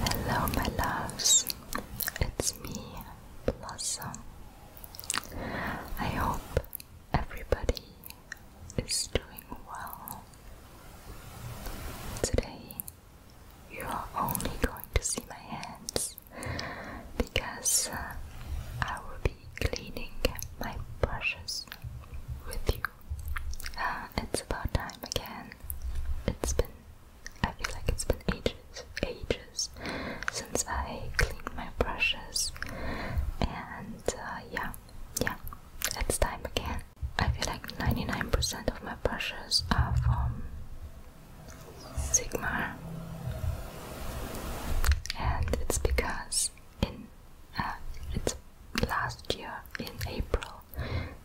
Hello, my loves, it's me, Blossom. I hope everybody is doing well. Today, you are only going to see my hands because uh, I will be cleaning my brushes with you. Uh, it's about time again. It's been, I feel like it's been ages, ages since I cleaned my brushes. And uh, yeah, yeah, it's time again. I feel like 99% of my brushes are from Sigma, and it's because in uh, it's last year in April,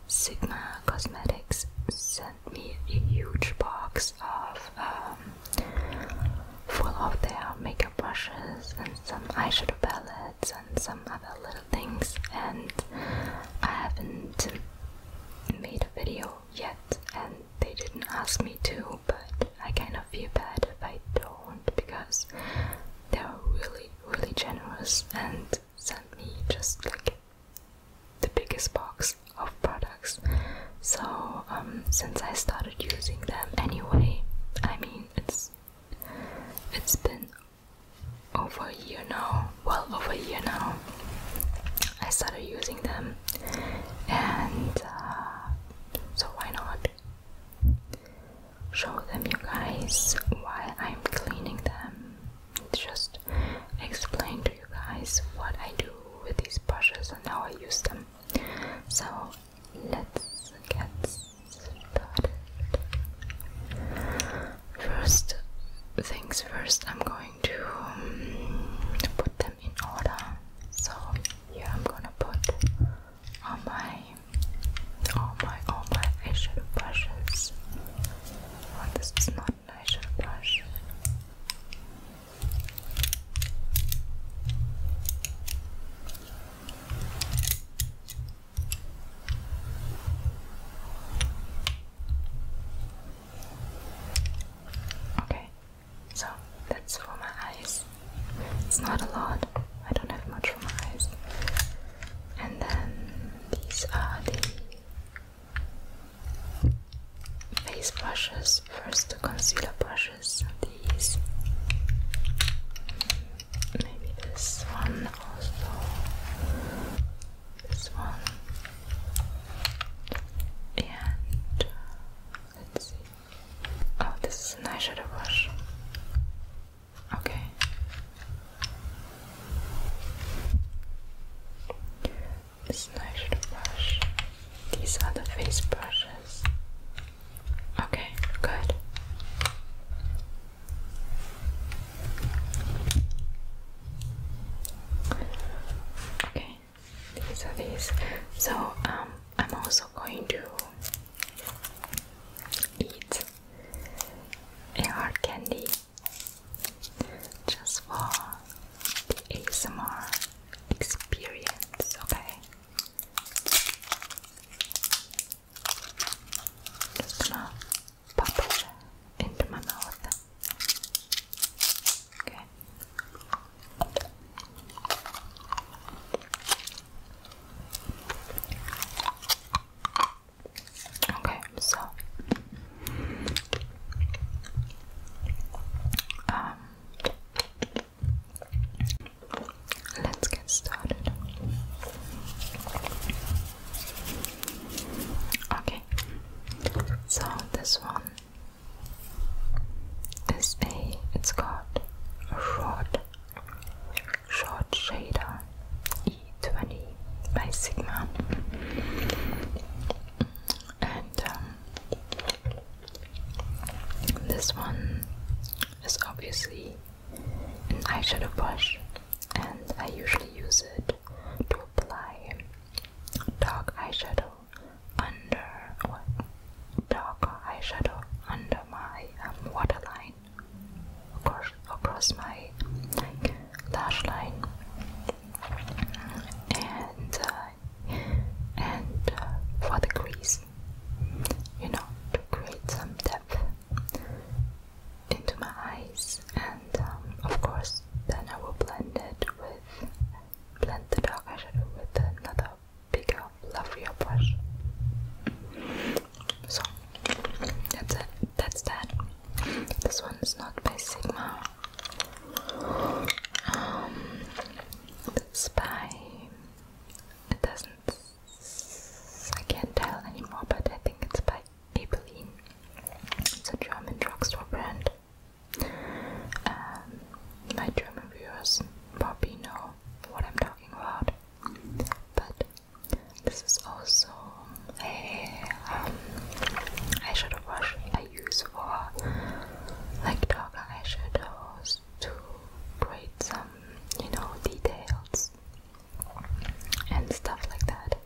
Sigma Cosmetics sent me a huge box of um, full of their makeup brushes and some eyeshadow palettes and some other little things, and I haven't made a video yet, and they didn't ask me to, but I kind of going feel bad if I don't because they were really, really generous and sent me just like the biggest box of products. So, um, since I started using them anyway, I mean, it's it's been over a year now, well over a year now. I started using them, and uh, so why not? show them you guys why I'm cleaning them. Just explain to you guys what I do with these brushes and how I use them. So let's get started. First things first, I'm going to um, put them in order. So here I'm gonna put all my, all my, all my eyeshadow brushes. Oh, this not an eyeshadow brush. Okay, so that's for my eyes. It's not a lot. I don't have much for my eyes. And then these are the face brushes. First, the concealer brushes. These. Maybe this one also. This one. And uh, let's see. Oh, this is an eyeshadow brush. Okay. It's nice to brush. These are the face brushes. Okay, good. Okay, these are these. So, um, I'm also going to eat a hard candy just for the ASMR experience, okay? Just gonna pop it into my mouth. Okay. Okay, so um, let's get started. Okay, so this one is a it's called rod Short Shader E20 by Sigma and um, this one is obviously an eyeshadow brush and I usually use it to apply dark eyeshadow under or eyeshadow under my um, waterline line across, across my like, lash line and uh, and uh, for the crease you know to create some depth into my eyes and um, of course then I will blend it with blend the dark eyeshadow with another pick up, love your brush. So that's it. That's that. This one is not by Sigma. Um, it's by. It doesn't. I can't tell anymore, but I think it's by Maybelline. It's a German drugstore brand. Um, my German viewers probably know what I'm talking about. But this is also a um, eyeshadow brush I use for like darker eyeshadows to create some, you know, details and stuff like that.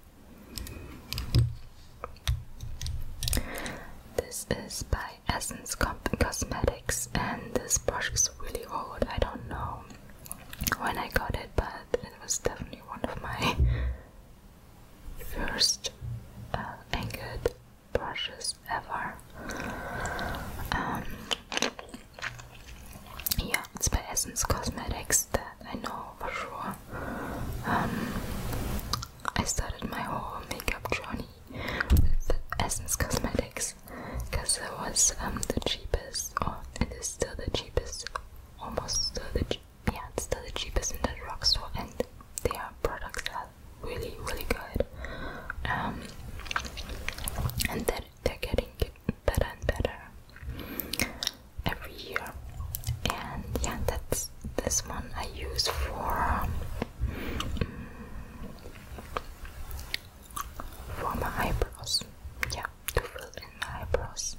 This is by Essence Cosmetics and this brush is really old. I don't know when I got it, but it was definitely one of my first uh, angled brushes ever. Um, yeah, it's by Essence Cosmetics that I know for sure. Um, I started my whole makeup journey with Essence Cosmetics because it was um, the cheapest and it is still the cheapest almost still the yeah it's still the cheapest in that drugstore and their products are really really good um and that they're getting better and better every year and yeah that's this one I use for um, for my eyebrows. Yeah, to fill in my eyebrows.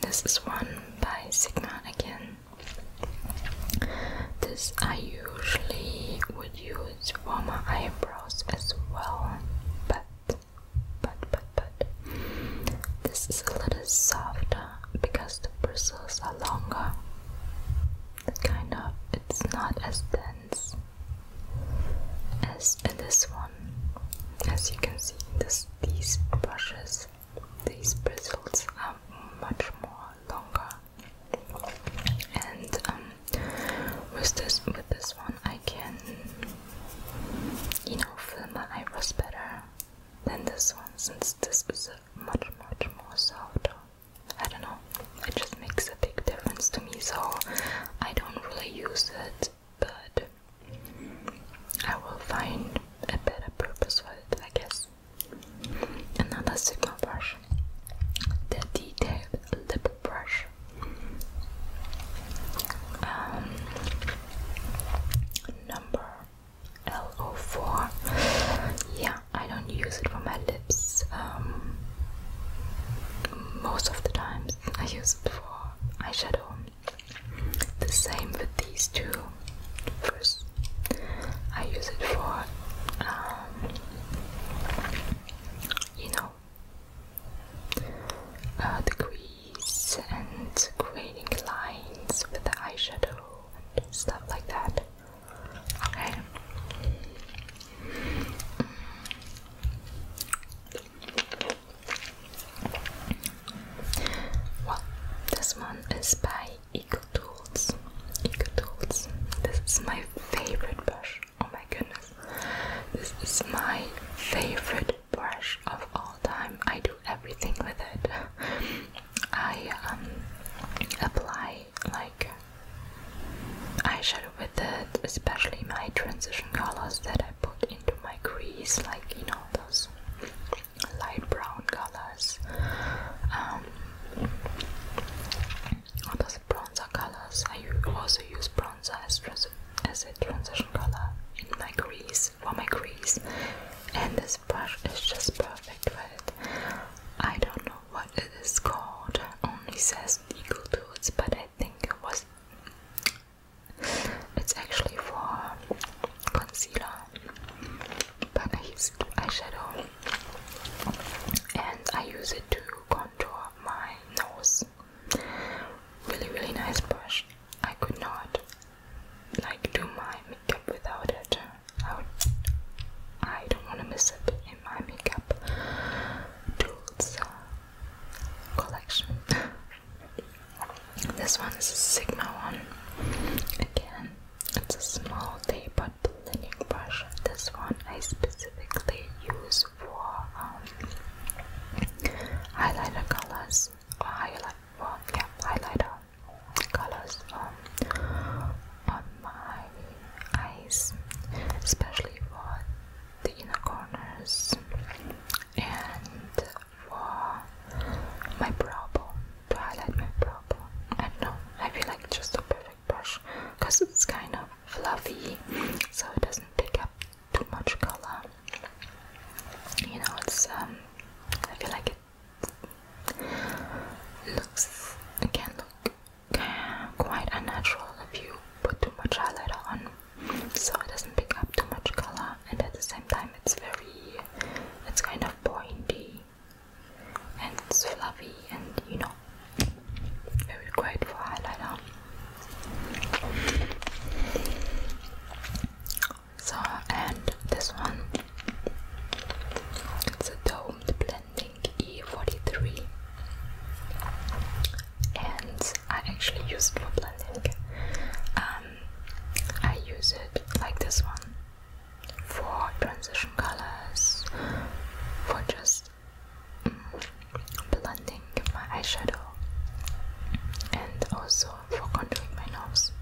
This is one by Sigma again. This I usually would use for my eyebrows as well, but but but but this is a little softer because the bristles are longer kind of it's not as dense as in this one. As you can see, this these brushes, these bristles are much more longer. And um, with this with this one, I can you know fill my eyebrows better than this one since this is much much more softer. I don't know, it just makes a big difference to me, so I don't really use it, but I will find a better purpose for it, I guess. Another Sigma brush, the detailed lip brush. Um, number L04. Yeah, I don't use it for my lips um, most of the times. I use it for eyeshadow. The same with these two. First, I use it for, um, you know, uh, the crease and creating lines with the eyeshadow and stuff like that. Okay. Well, this one is by Eco Tools. This is my favorite brush. Oh my goodness. This is my favorite brush of all time. I do everything with it. I um, apply like eyeshadow with it, especially my transition colors that I put into my crease, like you know those light brown colors, um, or those bronzer colors. I also use bronzer as, trans as a transition color in my crease for my crease, and this brush is just perfect for it. I don't know what it is called. Only says Eagle Tools, but I think it was. It's actually for concealer, but I eyeshadow, and I use it to contour my nose. Really, really nice brush. I could not like do my makeup without it. I don't want to miss it in my makeup tools uh, collection. this one is a Sigma one. Again, it's a small day but blending brush. This one I specifically use for um, highlighter colors or yeah, highlighter colors um, my eyes, especially for the inner corners and for my brow bone to highlight my brow bone. I don't know, I feel like just a perfect brush because it's kind of fluffy so it doesn't take up too much color. You know, it's um, I feel like it looks, it can look quite unnatural if you put too much highlighter on so it doesn't pick up too much color and at the same time it's very it's kind of pointy and it's fluffy and you know very great for highlighter so and this one it's a domed blending King E43 and I actually use it for blending. Um, I use it like this one for transition colors, for just mm, blending my eyeshadow, and also for contouring my nose.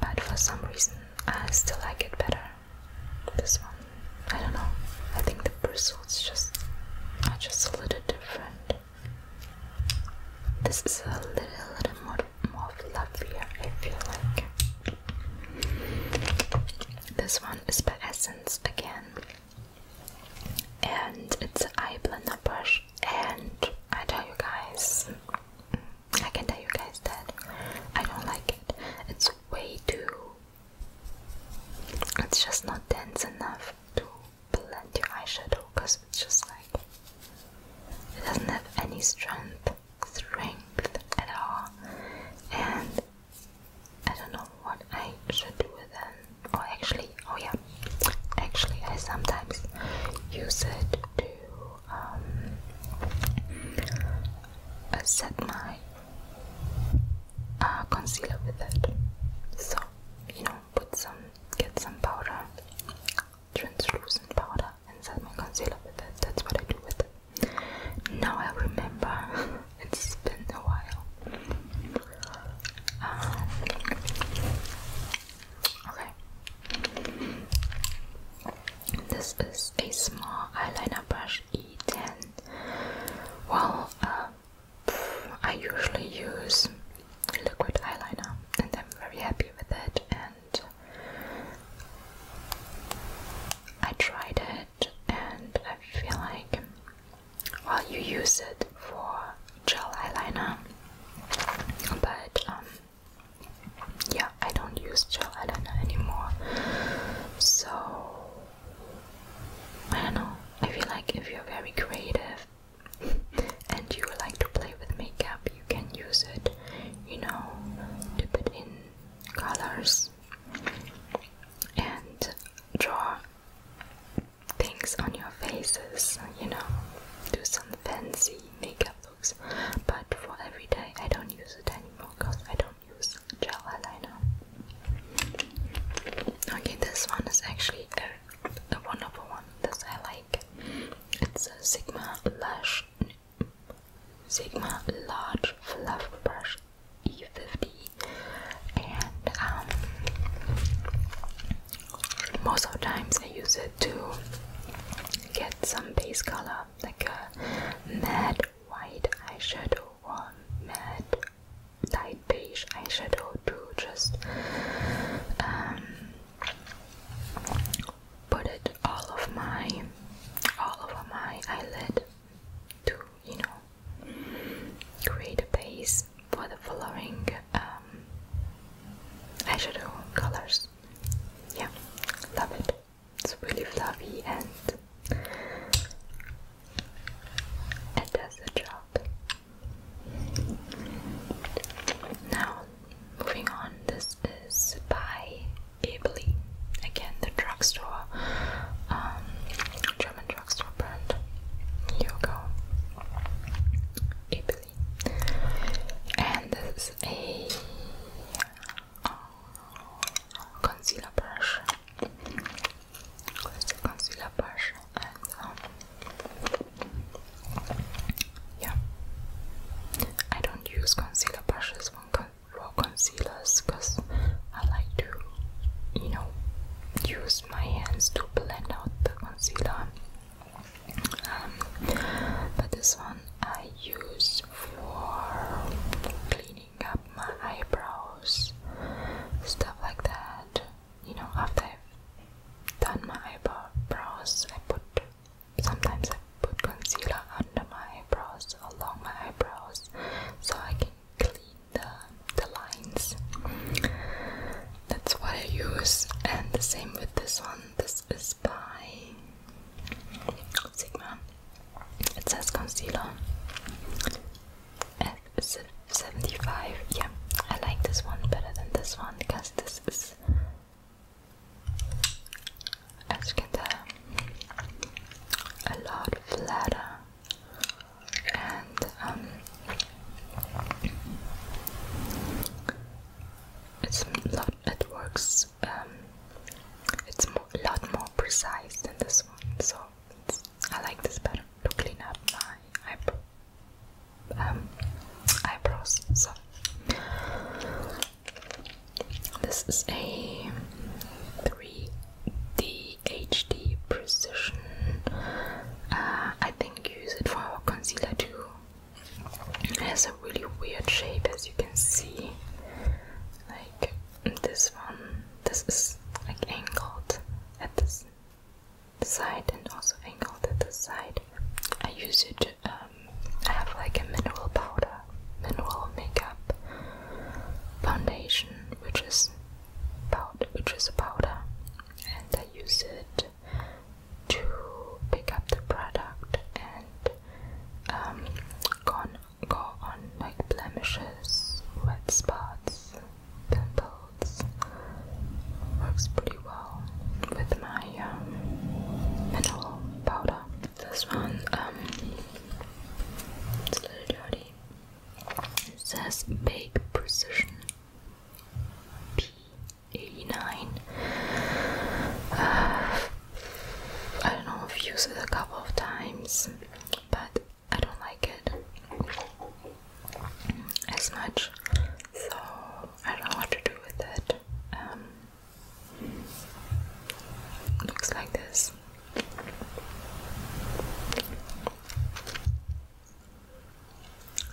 But for some reason, I still like it better this one, I don't know. I think the bristles just are just a little different. This is a little, bit more, more fluffier, I feel like. This one is by Essence again, and it's an eye blender brush. And I tell you guys, I can tell you guys that I don't like it. It's way too. It's just not dense enough to blend your eyeshadow because it's just like. It doesn't have any strength, strength at all. And I don't know what I should do with it. Oh, actually, oh yeah, actually, I sometimes use it to um, set my uh, concealer with it. So you know, put some, get some powder, translucent powder, and set my concealer with it. That's what I do with it. Now I remember. it's been a while. Um, okay. This is a small eyeliner brush E10. Well, uh, I usually use liquid eyeliner and I'm very happy with it and I tried it and I feel like well you use it for gel eyeliner but um yeah, I don't use gel eyeliner anymore. So I don't know. I feel like if you're very creative and you like to play with makeup, you can use it, you know, to put in colors and draw things on your faces, you know, do some fancy makeup but for every day I don't use it anymore because I don't use gel eyeliner. Okay, this one is actually a, wonderful one. This I like. It's a Sigma Lash, Sigma Large Fluff Brush E50, and um, most of the times I use it to get some base color like a matte white eyeshadow or matte light beige eyeshadow to just um, put it all of my all over my eyelid to you know create a base for the following um, eyeshadow colors. Yeah, love it. It's really fluffy and it does the job. Now, moving on, this is by Ably. Again, the drugstore, um, German drugstore brand. Here we go. Ably. And this is a concealer brush. With the concealer brush and um, yeah, I don't use concealer brushes when con raw concealers because I like to, you know, use my hands to blend out the concealer. Um, but this one I use for cleaning up my eyebrows, stuff like that. You know, after I've done my eyebrows, I put sometimes I put concealer under my eyebrows, along my eyebrows, so I can clean the, the lines. That's what I use, and the same with this one. This is by Sigma. It says concealer. F75. Yeah, I like this one better than this one because this is, as you can tell, a lot flatter and um, it's It works um, it's a lot more precise than this one, so I like this better to clean up my um, eyebrows. So this is a 3D HD Precision. Uh, I think use it for concealer too. It has a really weird shape as you can see. Like this one, this is like angled at this side and also angled at this side. I use it, um, I have like a mineral powder, mineral makeup foundation, which is powder, which is a powder, and I use it to pick up the product and um, go on like blemishes, red spots, pimples. Works pretty well with my um, mineral powder. This one, um, it's a little dirty. It says Bake Precision P89. I don't know, I've used it a couple of times, but I don't like it as much, so I don't know what to do with it. Um, looks like this.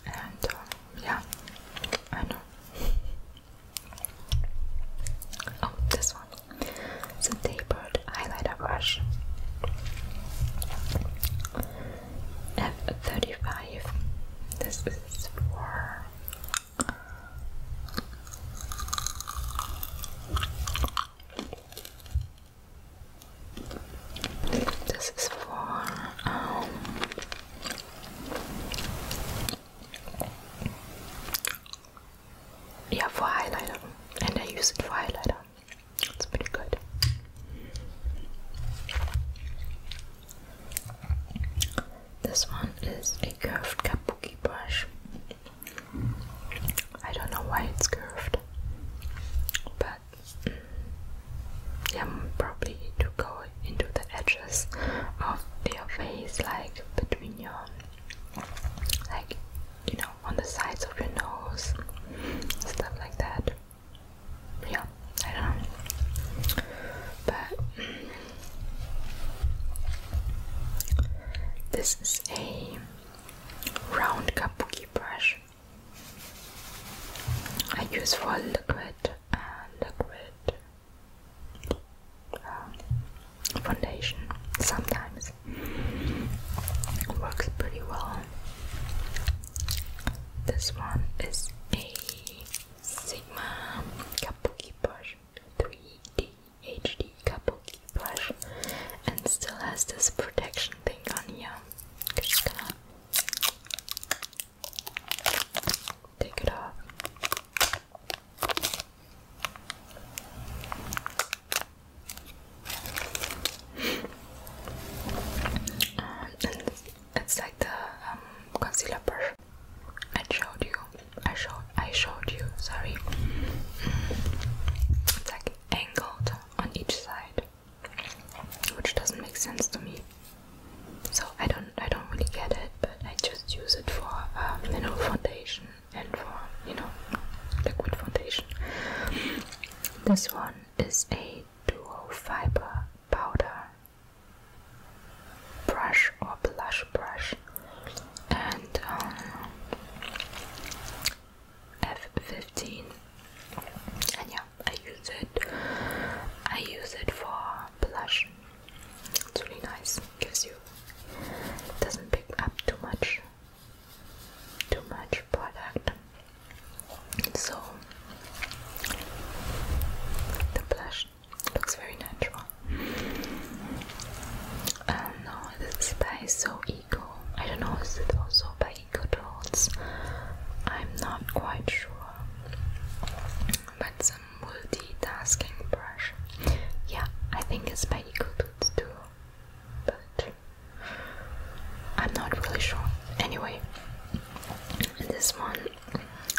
And um, yeah, I know. Oh, this one. It's a tapered highlighter brush. F35. This is for this is for um, yeah, for highlighter. And I use it for highlighter. It's pretty good. This one is a curved kabuki brush. I don't know why it's curved, but mm, yeah, probably to go into the edges of your face, like between your, like, you know, on the sides of your nose, stuff like that. Yeah, I don't know. But this is a round kabuki brush. I use for liquid and uh, liquid um, foundation sometimes works pretty well. This one is a Sigma Kabuki brush, 3D HD Kabuki brush, and still has this protection thing on here. Just gonna take it off. Um, and it's like the um, concealer brush I showed you. I showed. I showed you. Sorry. Mm. It's like angled on each side, which doesn't make sense to me. So I don't. I don't really get it. I just use it for um, foundation and for you know liquid foundation. This one is a duo fiber powder brush or blush brush and um, F15 and yeah I use it I use it for blush it's really nice because you doesn't pick up too much too much product. So the blush looks very natural. Um, no, this is by So Eco. I don't know, is it also by Eco Dolls? I'm not quite sure, but some multitasking brush. Yeah, I think it's by EcoBoots too, but I'm not really sure. Anyway, this one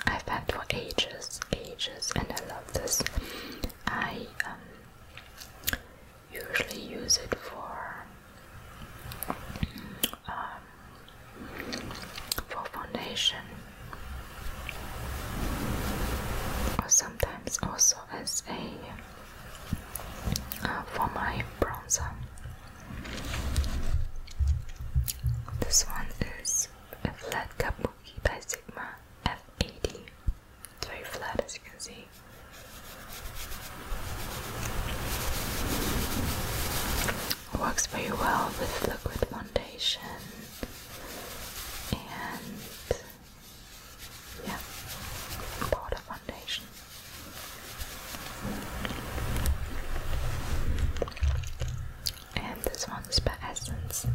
I've had for ages, ages, and I love this. I um, usually use it for. Um, for foundation sometimes also as a uh, for my bronzer. This one is a flat kabuki by Sigma F80. It's very flat as you can see. Works very well with liquid foundation and yeah, powder foundation. And this one is by Essence.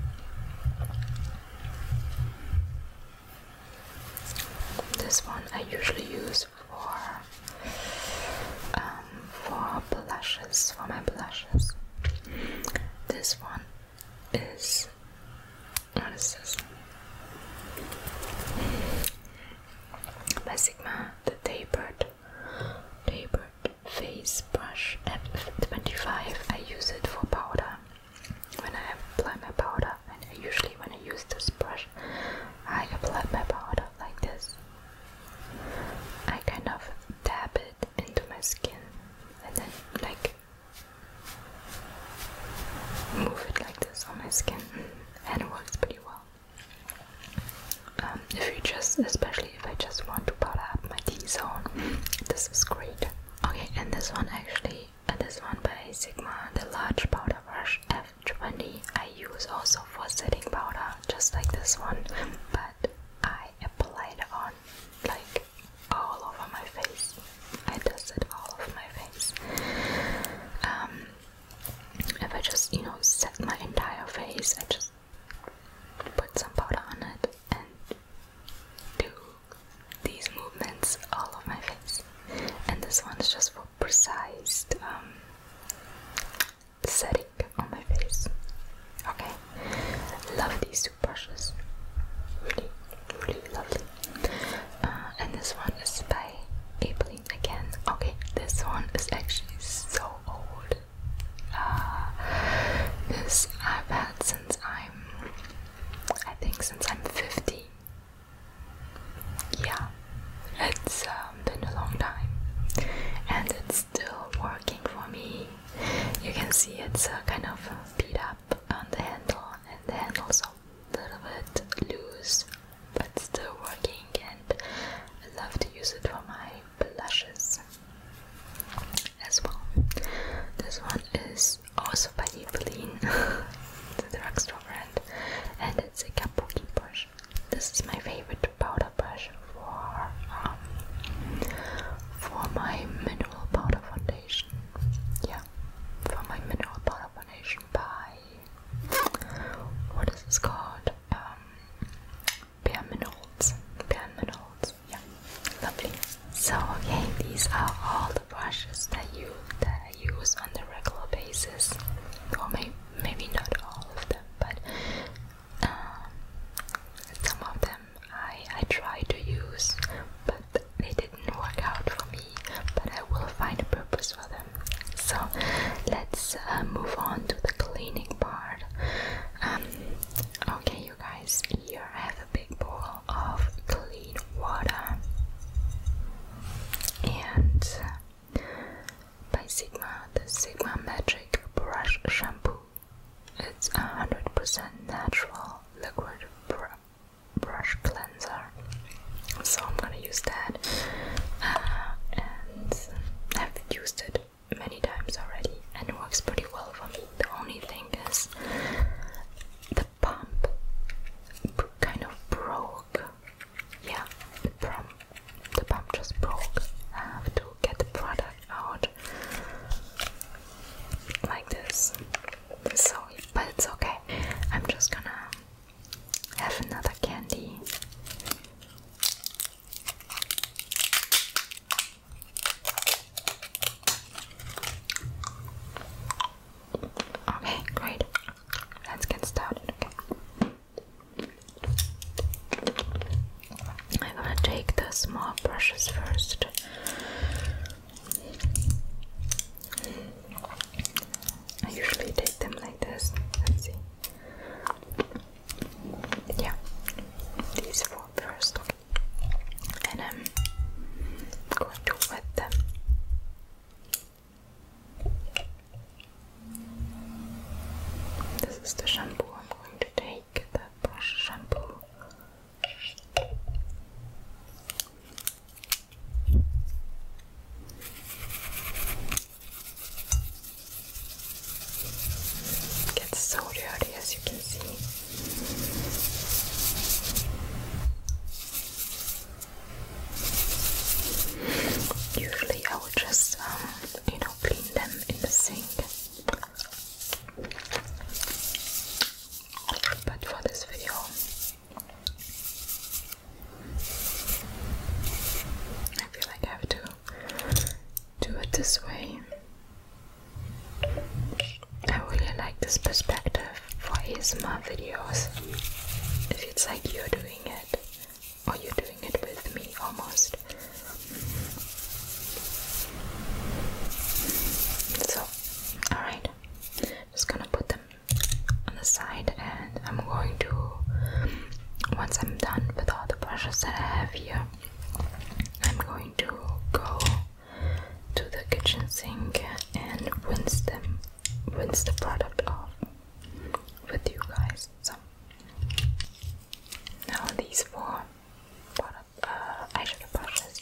This one I usually use for um, for blushes, for my blushes. This one is what is this? By Sigma the tapered tapered face brush F25. I use it for powder. When I apply my powder, and usually when I use this brush, I apply my powder like this. I kind of dab into my skin and then like move it like this on my skin and it works pretty well. Um, if you just, especially if I just want to powder up my T-zone, this is great. Okay, and this one actually, and uh, this one by Sigma, the large powder brush F20, I use also for setting powder, just like this one, but I apply it on like all over my face. I dusted all over my face. Um, if I just, you know, set my entire face, I just put some powder on it and do these movements all over my face. And this one's just for precise um, setting stick on my face. Okay, love these two brushes, really, really lovely. Uh, and this one is by Abilene again. Okay, this one is actually so old. Uh, this I've had since I'm, I think, since I'm 15. Yeah, it's um, been a long time, and it's still working for me. You can see it's uh, kind of uh, beat up on the handle, and the handle's a little bit loose, but still working. And I love to use it for my blushes as well. This one is also by Eveline, the drugstore brand, and it's a kabuki brush. This is my favorite powder brush for um, for my mineral powder foundation. Yeah, for my mineral powder foundation by what is this called? Um, Bare Minerals. Bare Minerals. Yeah, lovely. So okay, these are all the brushes that you that I use on the regular basis, or maybe maybe not all of them, but um, some of them I, I tried to use, but they didn't work out for me. But I will find a purpose for them. So let's uh, move on to the cleaning part. Um, okay, you guys, here I have a big bowl of clean water, and uh, by Sigma, the Sigma Magic Brush Shampoo. It's a hundred percent natural liquid brush cleanser, so I'm gonna use that. Uh, and I've used it many times already, and it works pretty well for me. The only thing is the pump kind of broke. Yeah, the pump, the pump just broke. I have to get the product out like this. So, but it's okay. I'm just gonna have another candy. Okay, great. Let's get started. Okay. I'm gonna take the small brushes first. I usually take them like this. Let's see. Yeah, these four first, and I'm going to wet them. This is the shampoo I'm going to take. Get the brush shampoo. gets so dirty as you can see. Usually I would just, um, you know, clean them in the sink. But for this video, I feel like I have to do it this way. I really like this perspective for ASMR videos. If it's like you're doing it, or you're doing it with me almost. So, alright, just gonna put them on the side, and I'm going to, once I'm done with all the brushes that I have here, I'm going to go to the kitchen sink and rinse them, rinse the product off with you guys. So, now these four I uh, eyeshadow brushes.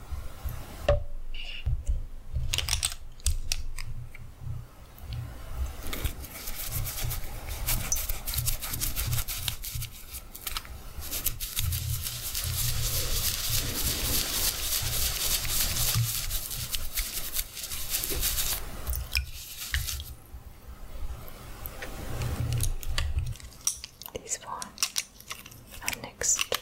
These four are next.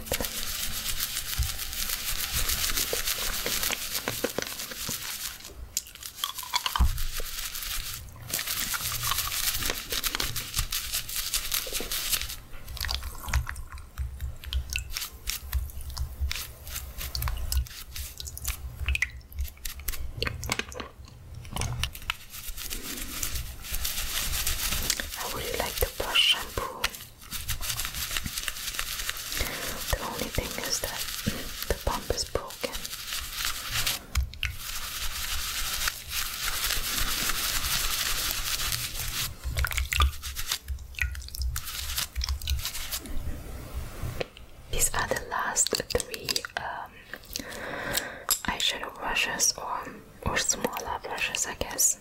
I really like the brush shampoo. The only thing is that the pump is broken. These are the last three um, eyeshadow brushes or or smaller brushes, I guess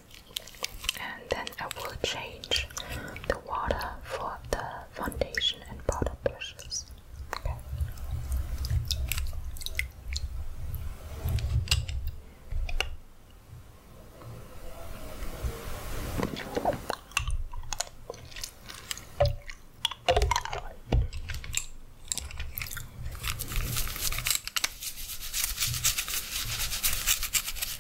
and then I will change the water for the foundation and powder brushes. Okay.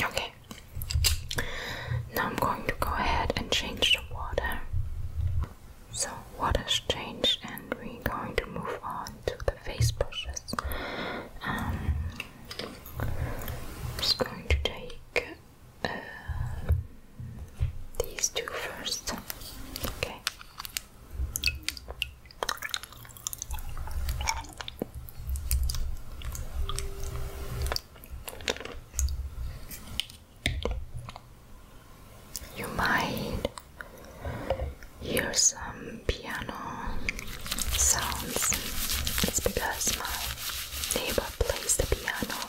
Okay, now I'm going to go ahead and change the water. So, water's changed, and we're going to move on to the face brushes. Um, just going to take these two first. Okay. You might hear some piano sounds. because my neighbor plays the piano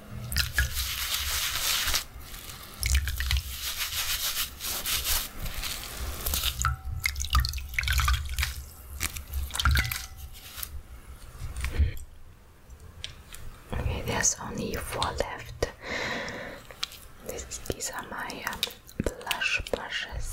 Okay, there's only four left. This, these are my um, blush brushes.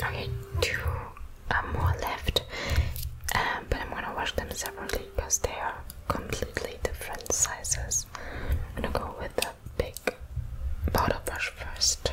Okay, two uh, more left, um, but I'm gonna wash them separately because they are completely different sizes. I'm gonna go with the big bottle brush first.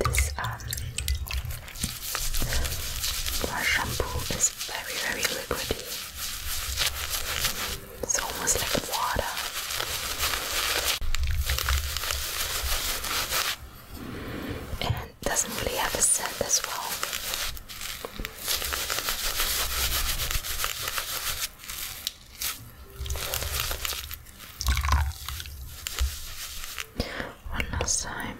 This um, shampoo is very very liquidy. It's almost like water. And doesn't really have a scent as well. One last time.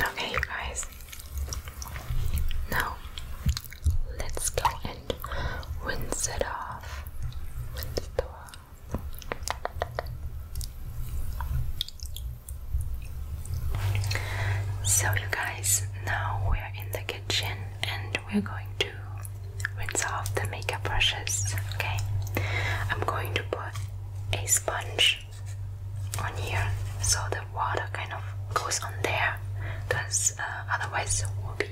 Okay, you guys. Now let's go and rinse it off. So, you guys, now we're in the kitchen and we're going to rinse off the makeup brushes. Okay, I'm going to put a sponge on here so the water kind of goes on there because uh, otherwise it will be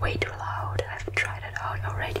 way too loud. I've tried it out already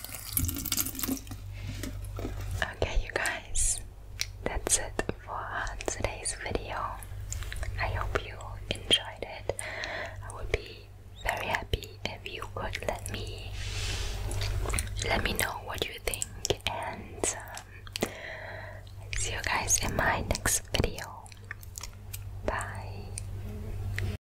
Okay, you guys, that's it for today's video. I hope you enjoyed it. I would be very happy if you could let me let me know what you think, and um, see you guys in my next video. Bye.